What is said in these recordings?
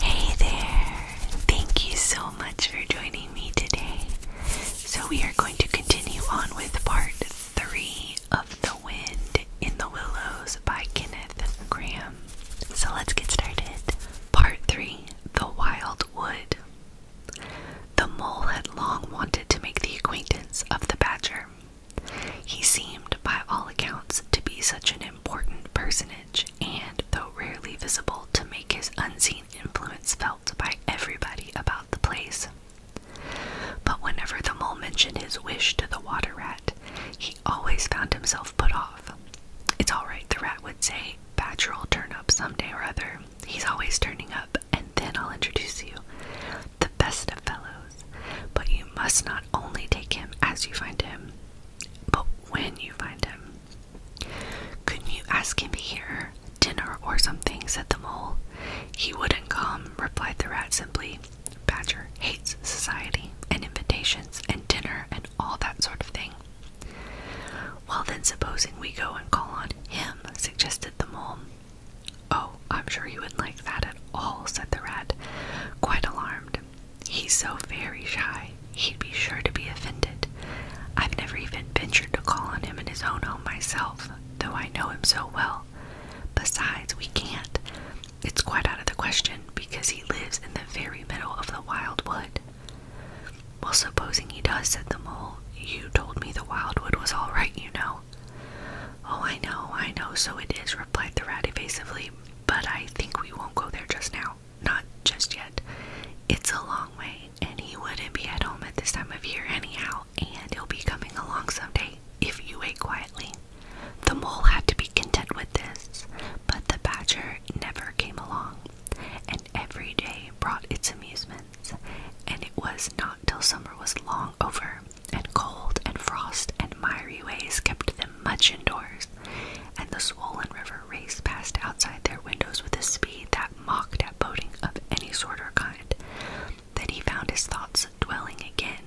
Hey there! Thank you so much for joining me today. So, we are going to continue on with part three of The Wind in the Willows by Kenneth Graham. So, let's get started. Part three The Wild Wood. The mole had long wanted to make the acquaintance of the badger. He seemed, by all accounts, to be such an important personage and though rarely visible, to make his unseen influence felt by everybody about the place. But whenever the mole mentioned his wish to the water rat, he always found himself put off. It's all right, the rat would say. Badger'll turn up some day or other. He's always turning up, and then I'll introduce you. The best of fellows. But you must not only take him as you find him, but when you find him. Couldn't you ask him here, dinner or something? said the mole. He wouldn't come, replied the rat simply. Badger hates society and invitations and dinner and all that sort of thing. Well, then, supposing we go and call on him, suggested the mole. Oh, I'm sure he wouldn't like that at all, said the rat, quite alarmed. He's so very shy. He'd be sure to be offended. I've never even ventured to call on him in his own home myself, though I know him so well. Besides, we can't. It's quite out of the question because he lives in the very middle of the wild wood. Well, supposing he does, said the mole. You told me the wild wood was all right, you know. Oh, I know, I know, so it is, replied the rat evasively, but I think we won't go there just now not just yet. It's a long way, and he wouldn't be at home at this time of year anyhow, and he'll be coming along someday if you wait quietly. The mole had to be content with this, but the badger never came along, and every day brought its amusements, and it was not till summer was long over, and cold and frost and miry ways kept them much indoors, and the swollen river raced past outside their windows with a speed that mocked at boating of any sort or kind. Then he found his thoughts dwelling again,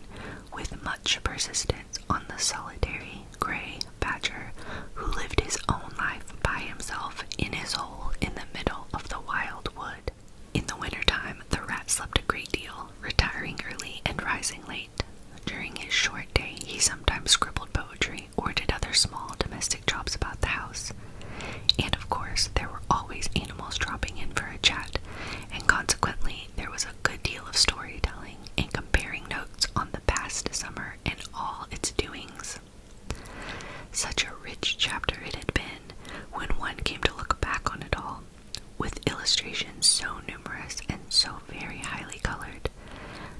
with much persistence, on the solitary gray badger who lived his own life by himself in his hole in the middle of the wild wood. In the wintertime, the rat slept a great deal, retiring early and rising late. During his short day, he sometimes scribbled poetry or did other small domestic jobs about the house. And of course, there were always animals dropping in for a chat, and consequently, there was a good deal of storytelling and comparing notes on the past summer and all its doings. Such a rich chapter it had been when one came to look back on it all, with illustrations so numerous and so very highly colored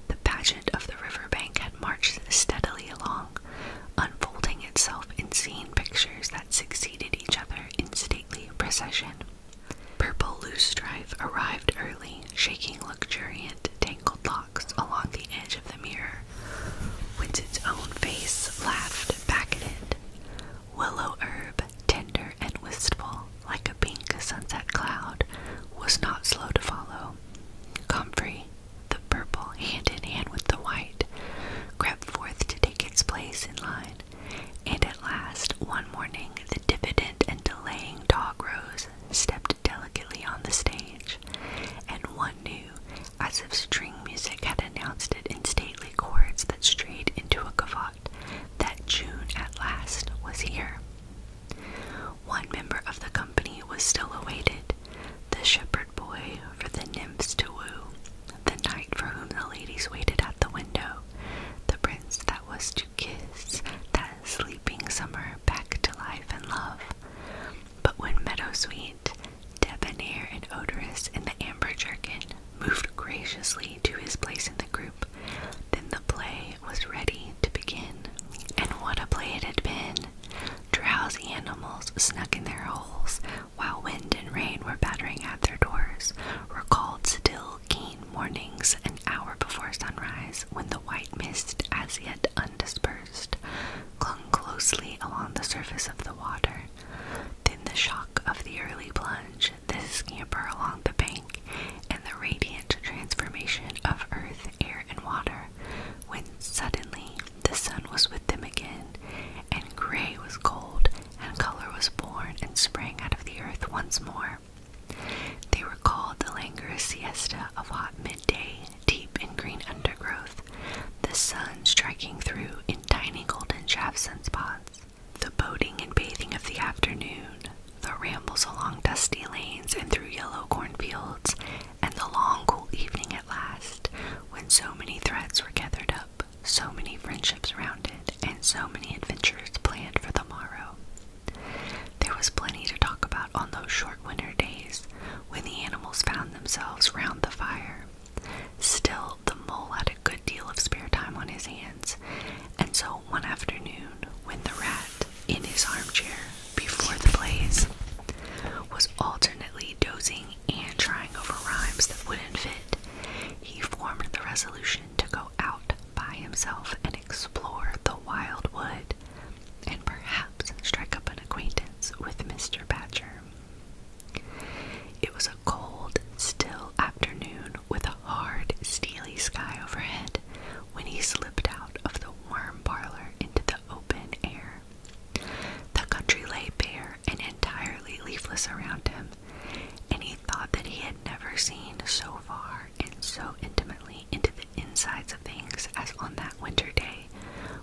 the pageant of the riverbank had marched steadily along, unfolding itself in scene pictures that succeeded each other in stately procession. Purple loosestrife arrived early, shaking luxuriant tangled locks along the edge of the mirror, whence its own face laughed back at it. Willow herb, tender and wistful, like a pink sunset cloud, was not slow to follow. Comfrey, the purple hand in hand with the white, crept forth to take its place in line, and at last, one morning, the diffident and delaying dog rose stepped delicately on the stage, and one knew, as if string music had announced it in stately chords that strayed into a cavat, that June at last was here. One member of the company was still awaited, the shepherd boy for the nymphs to woo, the knight for whom the ladies waited at the window, the prince that was to kiss that sleeping summer back to life and love. But when Meadowsweet, debonair and odorous in the amber jerkin, moved graciously to his place in the group, then the play was ready to begin. And what a play it had been! Drowsy animals snuck in their holes, while wind and rain were battering at their doors, recalled still, keen mornings an hour before sunrise, when the white mist, as yet undispersed, clung closely along the surface of the water. Then the shock of the early plunge, This scamper along the bank and the radiant transformation of earth, air, and water, when suddenly the sun was with them again, and gray was gold, and color was born and sprang out of the earth once more. They recalled the languorous siesta of hot midday, deep in green undergrowth, the sun striking through in tiny golden shafts and spots. The boating and bathing of the afternoon, the rambles along dusty lanes and through yellow cornfields, and the long cool evening at last, when so many threads were gathered up, so many friendships rounded, and so many adventures planned for the morrow. There was plenty to talk about on those short winter days when the animals found themselves round the fire. Still, the mole had a good deal of spare time on his hands, and so one afternoon, when the rat, in his armchair before the blaze, was alternately dozing and trying over rhymes that wouldn't fit, he formed the resolution to go out by himself and explore the wild wood and perhaps strike up an acquaintance with Mr. Badger. It was a cold, still afternoon with a hard, steely sky overhead when he slipped out of the warm parlor into the open air. The country lay bare and entirely leafless around him, and he thought that he had never seen so far and so intimately into the insides of things as on that winter day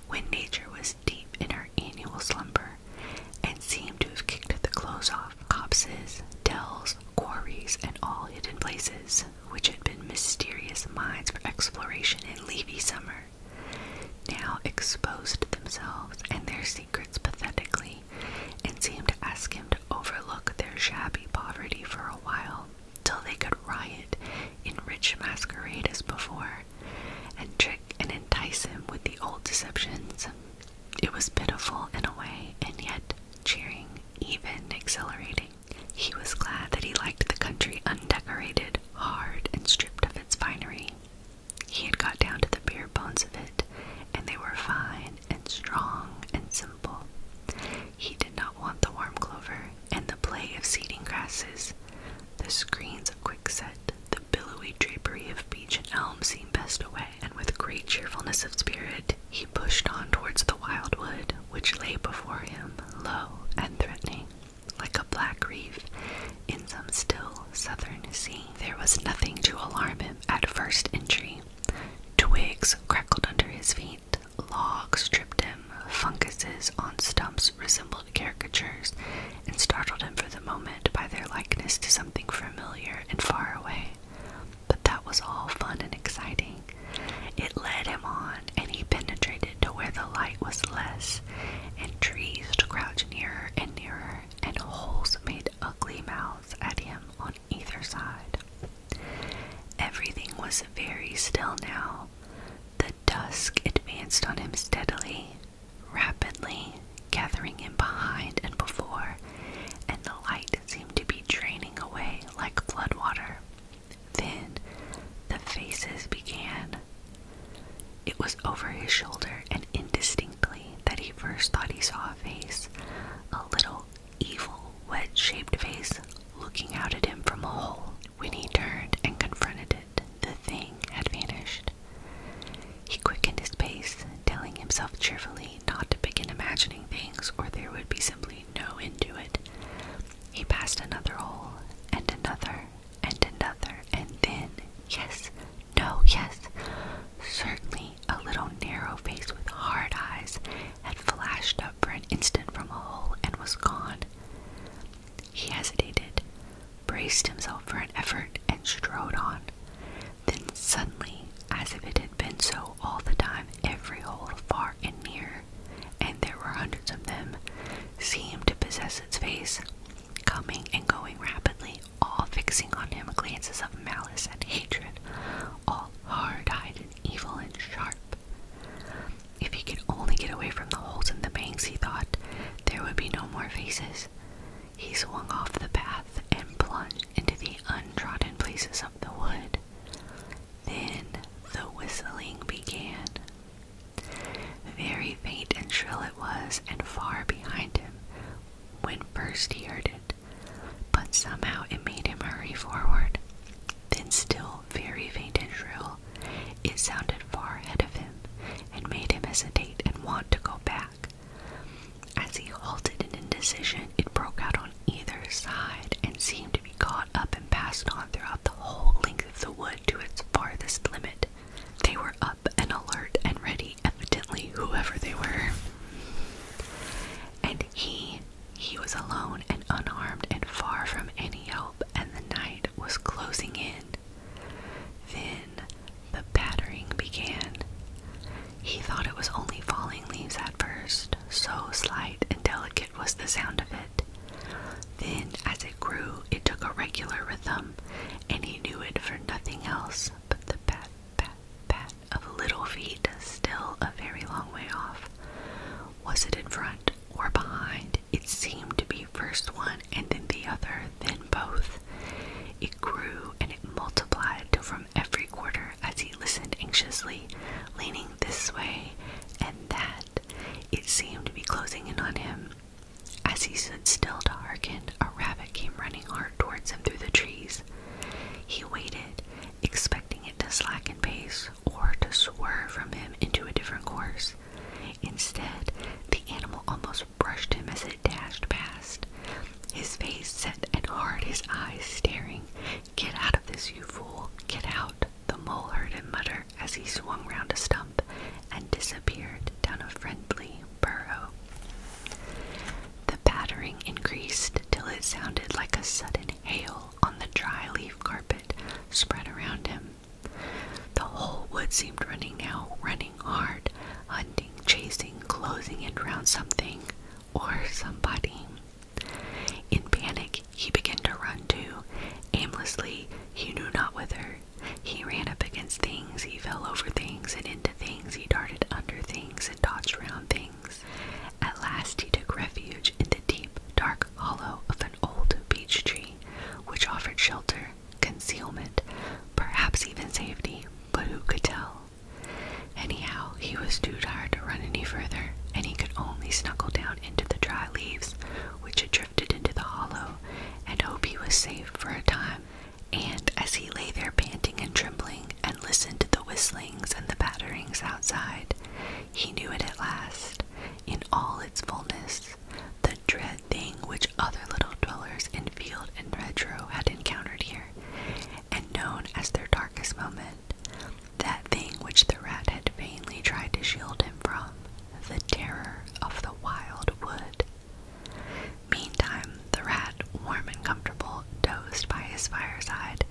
when nature was deep in her annual slumber and seemed to have kicked the clothes off copses, dells, quarries, and all hidden places which had been mysterious mines for exploration in leafy summer, now exposed themselves and their secrets pathetically, and seemed to ask him to overlook their shabby poverty for a while, till they could riot in rich masquerade as before, and trick and entice him with the old deceptions. It was pitiful in a way, and yet cheering, even exhilarating. He was glad that he liked the country undecorated, hard, and stripped of its finery. He had got down to the bare bones of it, and they were fine and strong and simple. He did not want the warm clover and the play of seeding grasses. The screens of quickset, the billowy drapery of beech and elm seemed best away, and with great cheerfulness of spirit, he pushed on towards the wildwood, which lay before him, low and threatening, like a black reef in some still southern sea. There was nothing to alarm him at first entry. Twigs crackled under his feet, logs tripped him, funguses on stumps resembled caricatures, and startled him for the moment by their likeness to something familiar and far away but that was all fun and exciting. It led him on, and he penetrated to where the light was less, and trees crouched nearer and nearer, and holes made ugly mouths at him on either side. Everything was very still now. The dusk advanced on him steadily, rapidly, gathering him behind and before, and the light seemed to be draining away like floodwater. Then the faces began. It was over his shoulder and indistinctly that he first thought he saw a face, a little evil, wedge shaped face looking out at him from a hole. When he turned and confronted it, the thing had vanished. He quickened his pace, telling himself cheerfully not to begin imagining things, or there would be simply no end to it. He passed another hole, and another, and another, and then, yes, no, yes, certainly a little narrow face with hard eyes had flashed up for an instant from a hole and was gone. He hesitated, braced himself for an effort, and strode on. Then suddenly, as if it had been so all the time, every hole far and near, and there were hundreds of them, seemed to possess its face, coming and going rapidly, all fixing on him glances of malice and hatred, all hard-eyed and evil and sharp. If he could only get away from the holes in the banks, he thought, there would be no more faces. He swung off the path and plunged into the untrodden places of the wood. Then the whistling began. Very faint and shrill it was, and far behind him when first he heard it, but somehow it made him hurry forward. Then, still very faint and shrill, it sounded far ahead of him and made him hesitate and want to go back. As he halted in indecision, it broke out on either side and seemed to be caught up and passed on throughout the whole length of the wood to its farthest limit. They were up and alert and ready, evidently, whoever they were. And he, he was alone and unarmed and far from any help, and the night was closing in. Then the pattering began. He thought it was only falling leaves at first, so slight and delicate was the sound of it. Then, as it grew, it took a regular rhythm, and he knew it for nothing else but the pat, pat, pat of little feet, still a very long way off. Was it in front or behind? It seemed to be first one and then the other, then both. It grew and it multiplied from every quarter as he listened anxiously, leaning this way and that. It seemed to be closing in on him. As he stood still to hearken, a rabbit came running hard towards him through the trees. He waited, expecting it to slacken pace or to swerve from him into a different course. Instead, the animal almost brushed him as it dashed past. His face set and hard, his eyes staring, Get out of this, you fool! Get out! The mole heard him mutter as he swung round a stump and disappeared down a friendly burrow. The pattering increased till it sounded like a sudden hail on the dry leaf carpet spread around him. The whole wood seemed running now, running hard, hunting, chasing, closing in round something or somebody. In panic, he began to run too, aimlessly, he knew not whither. He ran up against things, he fell over things and into things, he darted under things and dodged round things. At last, he took refuge in the deep, dark hollow of an old beech tree, which offered shelter, concealment, perhaps even safety, but who could tell? Anyhow, he was too tired to run any further, and he could only snuggle down into the dry leaves which had drifted into the hollow and hope he was safe for a time. And as he lay there panting and trembling and listened to the whistlings and the batterings outside, he knew it at last, in all its fullness, the dread thing which other little dwellers in field and hedgerow had encountered here, and known as their darkest moment, that thing which the rat had vainly tried to shield him from, the terror of the wild wood. Meantime, the rat, warm and comfortable, dozed by his fireside.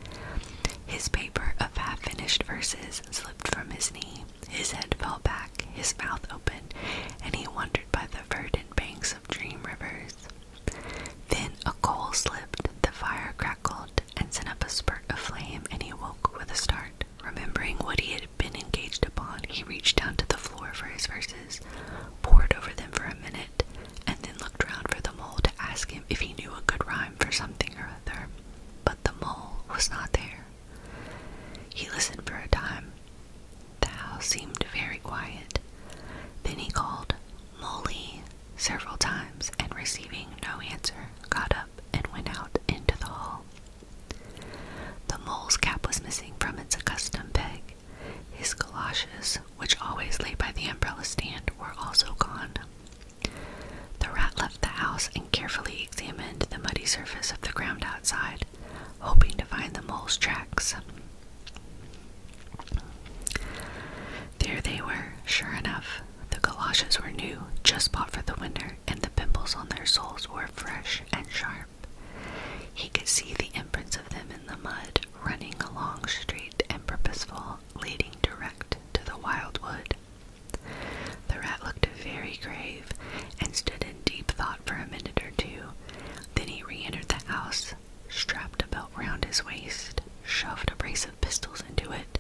His paper of half finished verses slipped from his knee, his head fell back, his mouth open, and he wandered by the verdant banks of dream rivers. Then a coal slipped, the fire crackled and sent up a spurt of flame, and he awoke with a start. Remembering what he had been engaged upon, he reached down to the floor for his verses, pored over them for a minute, and then looked round for the mole to ask him if he knew a good rhyme for something or other. But the mole was not there. He listened for a time. The house seemed very quiet. Then he called, Mole several times and receiving no answer, got up and went out into the hall. The mole's cap was missing from its accustomed peg. His galoshes, which always lay by the umbrella stand, were also gone. The rat left the house and carefully examined the muddy surface of the ground outside, hoping to find the mole's tracks. There they were, sure enough. The galoshes were new, just bought for the winter, and the pimples on their soles were fresh and sharp. He could see the imprints of them in the mud, running along straight and purposeful, leading direct to the wild wood. The rat looked very grave and stood in deep thought for a minute or two. Then he re entered the house, strapped a belt round his waist, shoved a brace of pistols into it,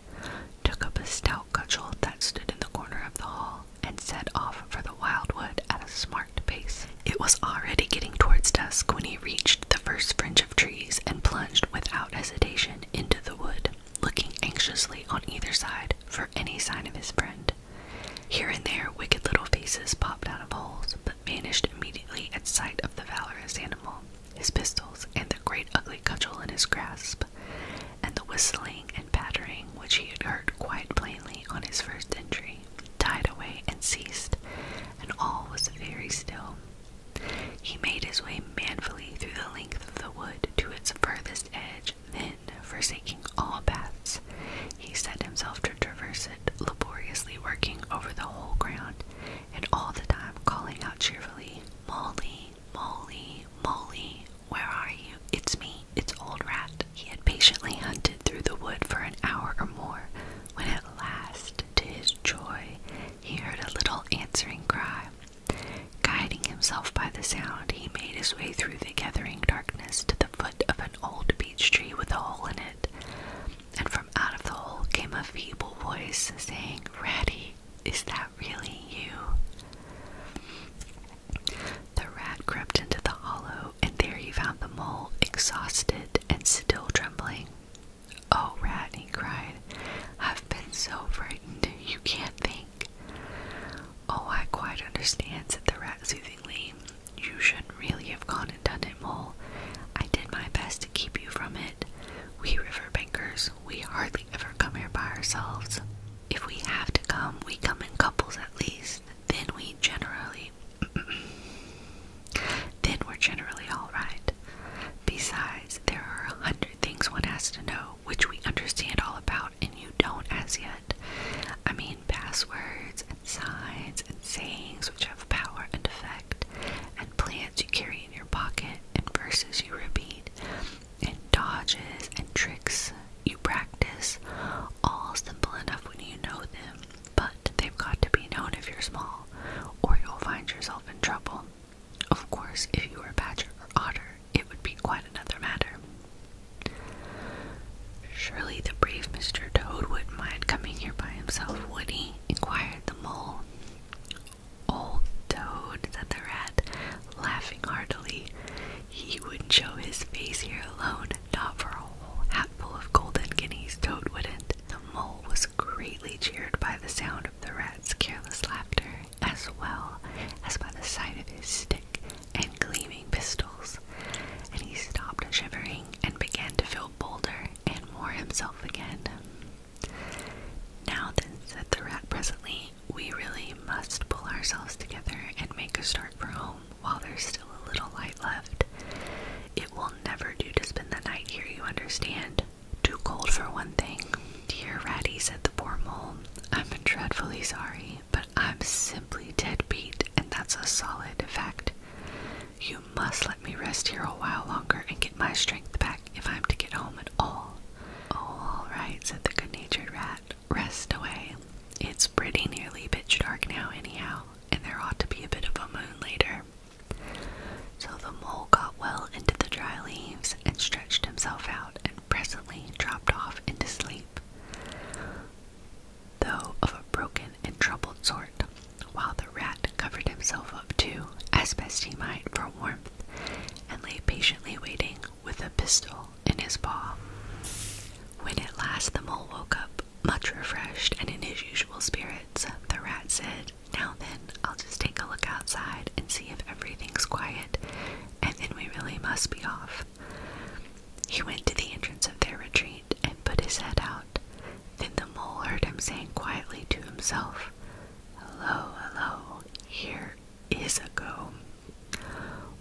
took up a stout cudgel that stood in the corner of the hall, and set off for the wildwood at a smart pace. It was already getting towards dusk when he reached the first fringe of trees and plunged without hesitation into the wood, looking anxiously on either side for any sign of his friend. Here and there, wicked little faces popped out of holes, but vanished immediately at sight of the valorous animal his pistols, and the great ugly cudgel in his grasp, and the whistling and pattering which he had heard quite plainly on his first entry, died away and ceased, and all was very still. He made his way manfully through the length of the wood to its furthest edge, then, forsaking all paths, he set himself to traverse it, laboriously working over the whole ground, and all the time calling out cheerfully, Molly, Molly, Molly, where are you? It's me, it's Old Rat. He had patiently hunted through the wood for an hour or more when at last, to his joy, he heard a little answering cry. Guiding himself by the sound, he made his way through the gathering darkness to the foot of an old beech tree with a hole in it and from out of the hole came a feeble voice saying, Ratty, is that really you? The rat crept into the hollow, and there he found the mole, exhausted and still trembling. Oh, rat, he cried, I've been so frightened, you can't think. Oh, I quite understand, said the rat soothingly. You shouldn't really have gone and done it, Mole. I did my best to keep you from it, said, We riverbankers, we hardly ever come here by ourselves. If we have to come, we come in couples at least. Then we generally. then we're generally alright. Besides, there are a hundred things one has to know, which we understand all about and you don't as yet. I mean, passwords and signs and sayings which have power and effect, and plants you carry in your pocket and verses you repeat, and dodges and tricks you practice, all simple enough when you know them, but they've got to be known if you're small, or you'll find yourself in trouble. Of course, if you were a badger or otter, it would be quite another matter. Surely the brave Mr. Toad wouldn't mind coming here by himself, would he? inquired the mole old toad, said the rat, laughing heartily. He wouldn't show his face here alone, not for a whole hatful of golden guineas, toad wouldn't. The mole was greatly cheered by the sound of the rat's careless laughter, as well as by the sight of his stick and gleaming pistols, and he stopped shivering and began to feel bolder and more himself again. Now then, said the rat presently, we really must pull ourselves together and make a start for home while there's still a little light left. It will never do to spend the night here, you understand. Too cold for one thing. Dear Ratty, said the poor mole, I'm dreadfully sorry, but I'm simply dead beat, and that's a solid fact. You must let me rest here a while longer and get my strength back if I'm to get home at all. All right, said the good natured rat. Rest away. It's pretty nearly pitch dark now, anyhow, and there ought to be a bit of a moon later. So the mole got well into the dry leaves and stretched himself out and presently dropped off into sleep, though of a broken and troubled sort while the rat covered himself up too, as best he might, for warmth, and lay patiently waiting with a pistol in his paw. When at last the mole woke up, much refreshed and in his usual spirits, the rat said, Now then, I'll just take a look outside and see if everything's quiet, and then we really must be off. He went to the entrance of their retreat and put his head out. Then the mole heard him saying quietly to himself, Hello, hello, here is a go.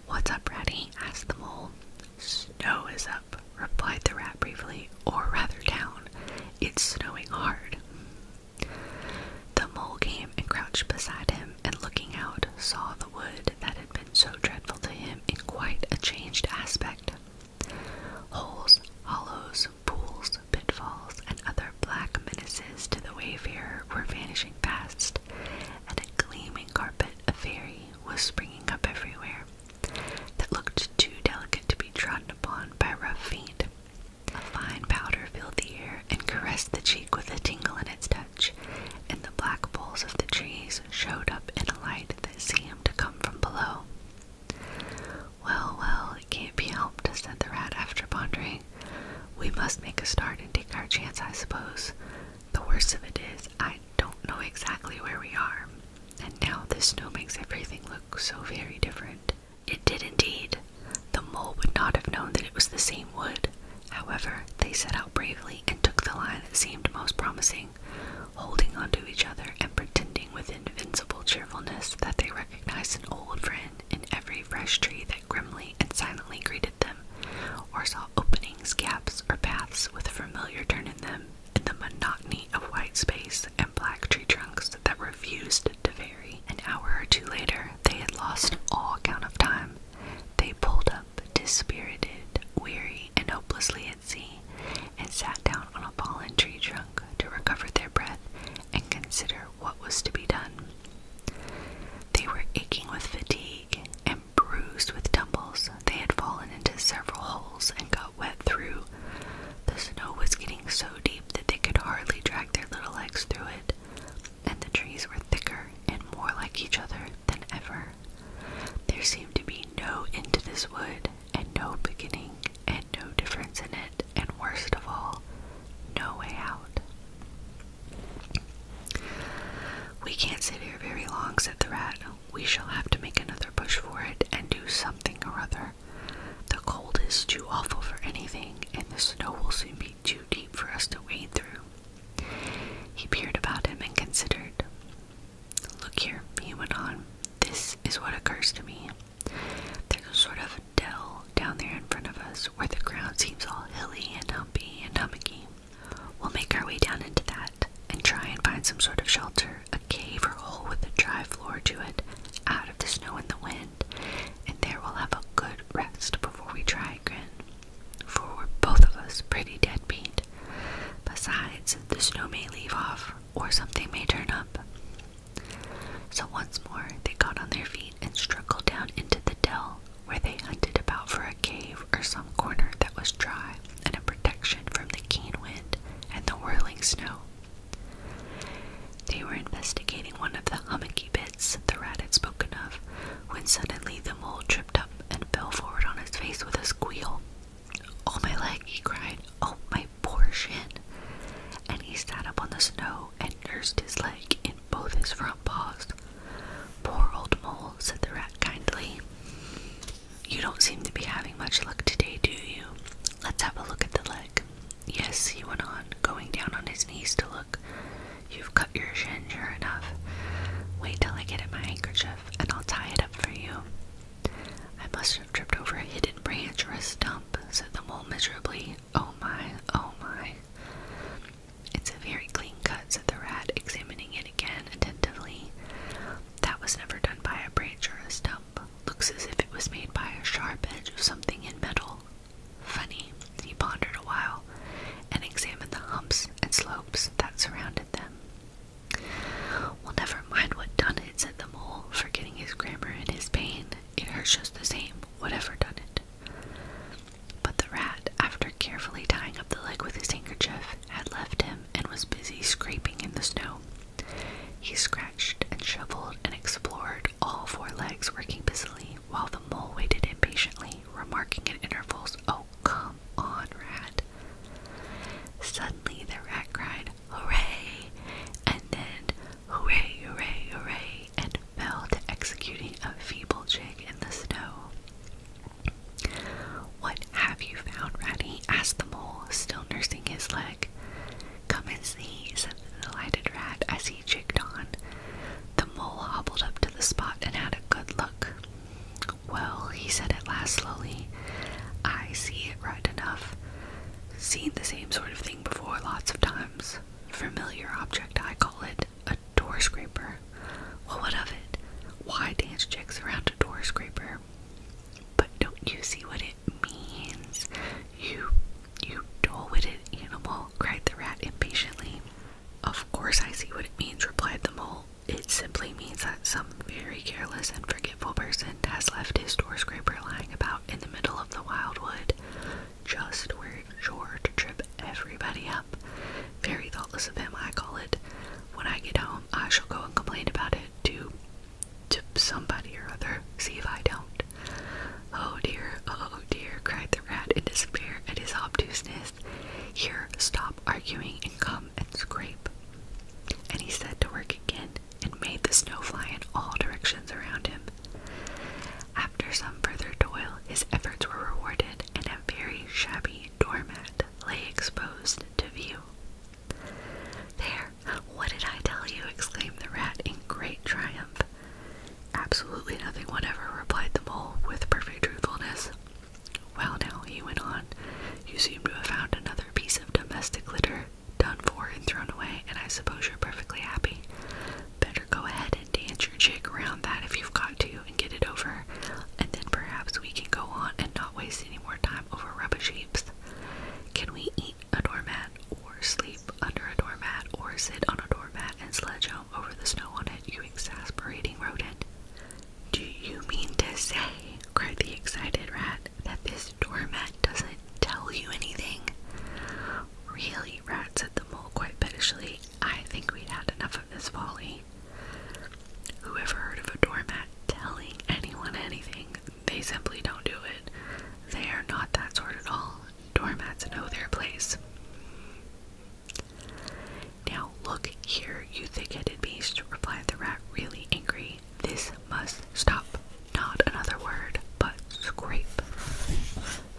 What's up, Ratty? asked the mole. Snow is up, replied the rat briefly, or rather down. It's snowing hard. The mole came and crouched beside him, and looking out, saw the wood that had been so dreadful to him in quite a changed aspect. Holes, hollows, pools, pitfalls, and other black menaces to the wayfarer were vanishing fast, and a gleaming carpet of fairy was springing up everywhere that looked too delicate to be trodden upon by rough feet. A fine powder filled the air and caressed the cheek with a tingle in its touch, and the black boles of the trees showed up in a light that seemed to come from below. Well, well, it can't be helped, said the rat after pondering. We must make a start and take our chance, I suppose. The worst of it is, I don't know exactly where we are, and now this snow makes everything look so very different. It did indeed. The mole would not have known that it was the same wood. However, they set out bravely and took the line that seemed most promising, holding on to each other and pretending with invincible cheerfulness that they recognized recognized an old friend in every fresh tree that grimly and silently greeted them, or saw openings, gaps, or paths with a familiar turn in them in the monotony of white space and black tree trunks that refused to vary. An hour or two later, they had lost all count of time. They pulled up, dispirited, weary, and hopelessly at sea, and sat down on a fallen tree trunk to recover their breath and consider what was to be done. They were aching with fatigue and bruised with tumbles. They had fallen into several holes and got wet through. The snow was getting so deep that they could hardly drag their little legs through it, and the trees were thicker and more like each other than ever. There seemed to be no end to this wood, and no beginning, no difference in it, and worst of all, no way out. We can't sit here very long, said the rat. We shall have to make another push for it and do something or other. The cold is too awful for anything, and the snow will soon be too deep for us to wade through. He peered about him and considered. Look here, he went on. This is what occurs to me. There's a sort of dell down there in front of us where the ground seems all hilly and humpy and hummocky. We'll make our way down into that and try and find some sort of shelter, a cave or hole with a dry floor to it, out of the snow and the wind, and there we'll have a good rest before we try again. For we're both of us pretty dead beat. Besides, the snow may leave off or something may turn up. So once more they got on their feet and struggled down into the dell, where they hunted about for a cave or some corner that was dry and a protection from the keen wind and the whirling snow. They were investigating one of the hummocky bits the rat had spoken of, when suddenly the mole tripped up and fell forward on his face with a squeal. Oh my leg, he cried. Oh my my portion. And he sat up on the snow and nursed his leg in both his front paws. Poor old mole, said the rat kindly. You don't seem to be having much luck today, do you? Let's have a look at the leg. Yes, he went on, going down on his knees to look. You've cut your shin, sure enough. Wait till I get at my handkerchief and I'll tie it up for you. I must have tripped over a hidden branch or a stump, said the mole miserably. Oh my, oh my. It's a very clean cut, said the rat, examining it again attentively. That was never done by a branch or a stump. Looks as if it was made by a sharp edge of something in metal. Funny, he pondered a while, and examined the humps and slopes that surrounded them. Well, never mind what done it, said the mole, forgetting his grammar and his pain it hurts just the same, whatever done it. But the rat, after carefully tying up the leg with his handkerchief, had left him and was busy scraping in the snow. He scratched and shoveled and explored, all four legs working busily, while the mole waited impatiently, remarking at intervals, Oh, come on, rat. Suddenly the rat cried, hooray, and then hooray, hooray, hooray, and fell to executing a feeble jig in the snow. What have you found, Ratty? asked the mole, still nursing his leg. Come and see, said the delighted rat as he jigged on. The mole hobbled up to the spot and had a good look. Well, he said at last slowly, I see it right enough. Seen the same sort of thing before lots of times. Familiar object, I call it a door scraper. Well, what of it? Why dance jigs around a door scraper? But don't you see what it means? You, you dull-witted animal, cried the rat impatiently. Of course I see what it means, replied the mole. It simply means that some very careless and forgetful forgetful person has left his door scraper lying about in the middle of the wildwood, just where it's sure to trip everybody up. Very thoughtless of him, I call it. When I get home, I shall go and complain about it to to somebody or other. See if I don't. Oh dear, oh dear, cried the rat in despair at his obtuseness. Here, stop arguing and come and scrape. And he set to work again, and made the snow fly in all directions around him. After some further toil, his efforts were rewarded, and a very shabby doormat lay exposed to view. There, what did I tell you? exclaimed the rat in great triumph. Absolutely nothing whatever, replied the mole with perfect truthfulness. Well, now, he went on, you seem to have found another piece of domestic litter done for and thrown away, and I suppose you're perfectly happy. Better go ahead and dance your jig around that if you've got to and get it over, and then perhaps we can go on and not waste any more time over rubbish heaps. Can we eat a doormat or sleep under a doormat or sit on a doormat and sledge home over the snow on it, you exasperating rodent? Do you mean to say, cried the excited rat, that this doormat doesn't tell you anything. Really, Rat said the mole quite pettishly. I think we'd had enough of this folly. Whoever heard of a doormat telling anyone anything? They simply don't do it. They are not that sort at all. Doormats know their place. Now, look here, you thick headed beast, replied the rat, really angry. This must stop. Not another word, but scrape.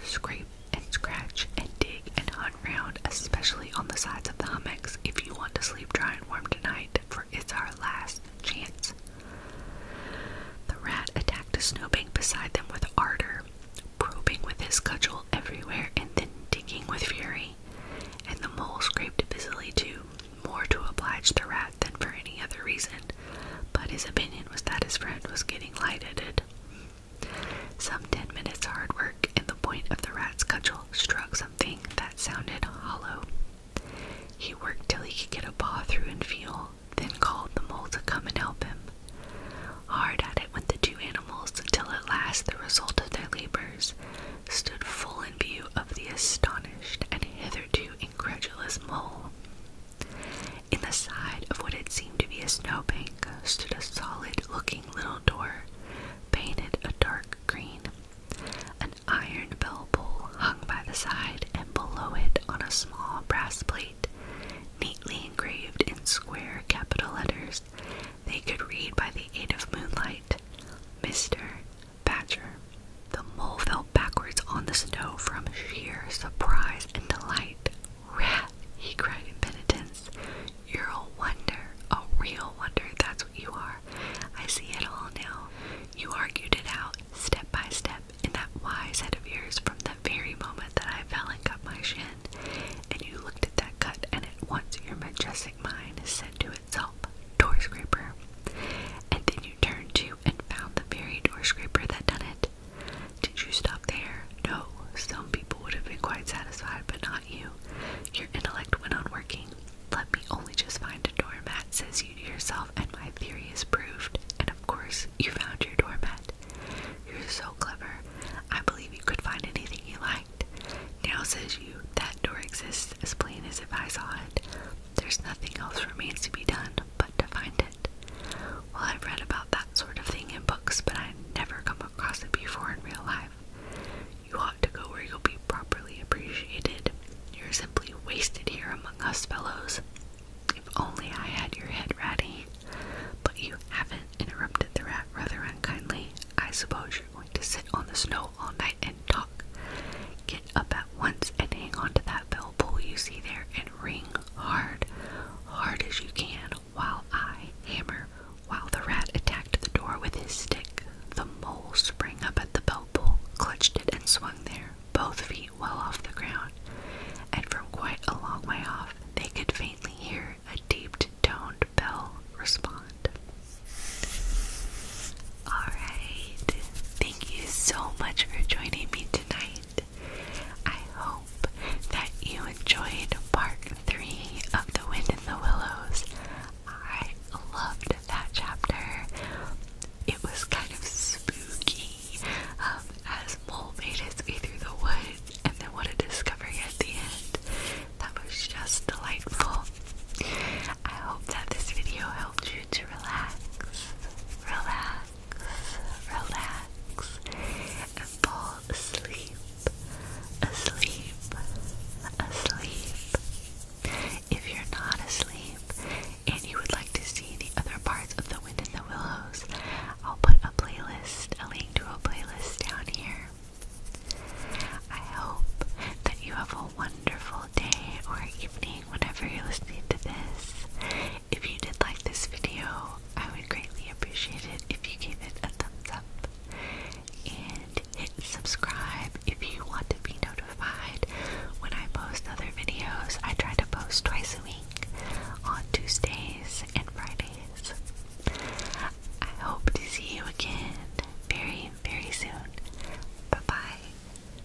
Scrape and scratch and dig and hunt round, especially on the sides of the hummocks if you want to sleep dry and warm tonight, for it's our last chance. The rat attacked a snowbank beside them with ardor, probing with his cudgel everywhere and then digging with fury. And the mole scraped busily too, more to oblige the rat than for any other reason, but his opinion was that his friend was getting light-headed. Some ten minutes' hard work, and the point of the rat's cudgel struck something that sounded hollow. He worked till he could get a paw through and feel, then called the mole to come and help him. Hard at it went the two animals till at last the result of their labors stood full in view of the astonished and hitherto incredulous mole. In the side of what had seemed to be a snowbank stood a solid looking little door, painted a dark green. An iron bell pull hung by the side, and below it, on a small brass plate, neatly engraved in square capital letters, they could read by the aid of moonlight Mr. Badger. The mole fell backwards on the snow from sheer surprise and delight. Rat, he cried in penitence. You're a wonder, a real wonder, that's what you are. I see it all now. You argued it out, step by step, in that wise head of yours from the very moment that I fell and cut my shin. And you looked at that cut, and at once your majestic mind said to itself, scraper. And then you turned to and found the very door scraper that done it? Did you stop there? No. Some people would have been quite satisfied, but not you. Your intellect went on working. Let me only just find a doormat, says you to yourself, and my theory is proved. And of course, you found your doormat. You're so clever. I believe you could find anything you liked. Now, says you, that door exists as plain as if I saw it. There's nothing else remains to be done but to find it. Well, I've read about that sort of thing in books, but I've never come across it before in real life. You ought to go where you'll be properly appreciated. You're simply wasted here among us fellows. If only I had your head, Ratty. But you haven't, interrupted the rat rather unkindly. I suppose you're going to sit on the snow all night and talk. Get up at once and hang on to that that bell pull you see there and ring hard, hard as you can, while I hammer. While the rat attacked the door with his stick, the mole sprang up at the bell pull, clutched it, and swung there, both feet well off the ground. And from quite a long way off, they could faintly hear a deep toned bell respond. Alright, thank you so much for joining me tonight. I hope that you enjoyed part three of The Wind in the Willows. I loved that chapter. It was kind of spooky um, as Mole made his way through the woods and then what a discovery at the end. That was just delightful. I hope that this video helped you to relax, relax, relax, and fall asleep, asleep, asleep. If you're not asleep and you would like to see the other parts of the Wind in the Willows, I'll put a playlist, a link to a playlist down here. I hope that you have a wonderful wonderful day or evening whenever you're listening to this. If you did like this video, I would greatly appreciate it if you gave it a thumbs up and hit subscribe if you want to be notified when I post other videos. I try to post twice a week on Tuesdays and Fridays. I hope to see you again very, very soon. Bye bye.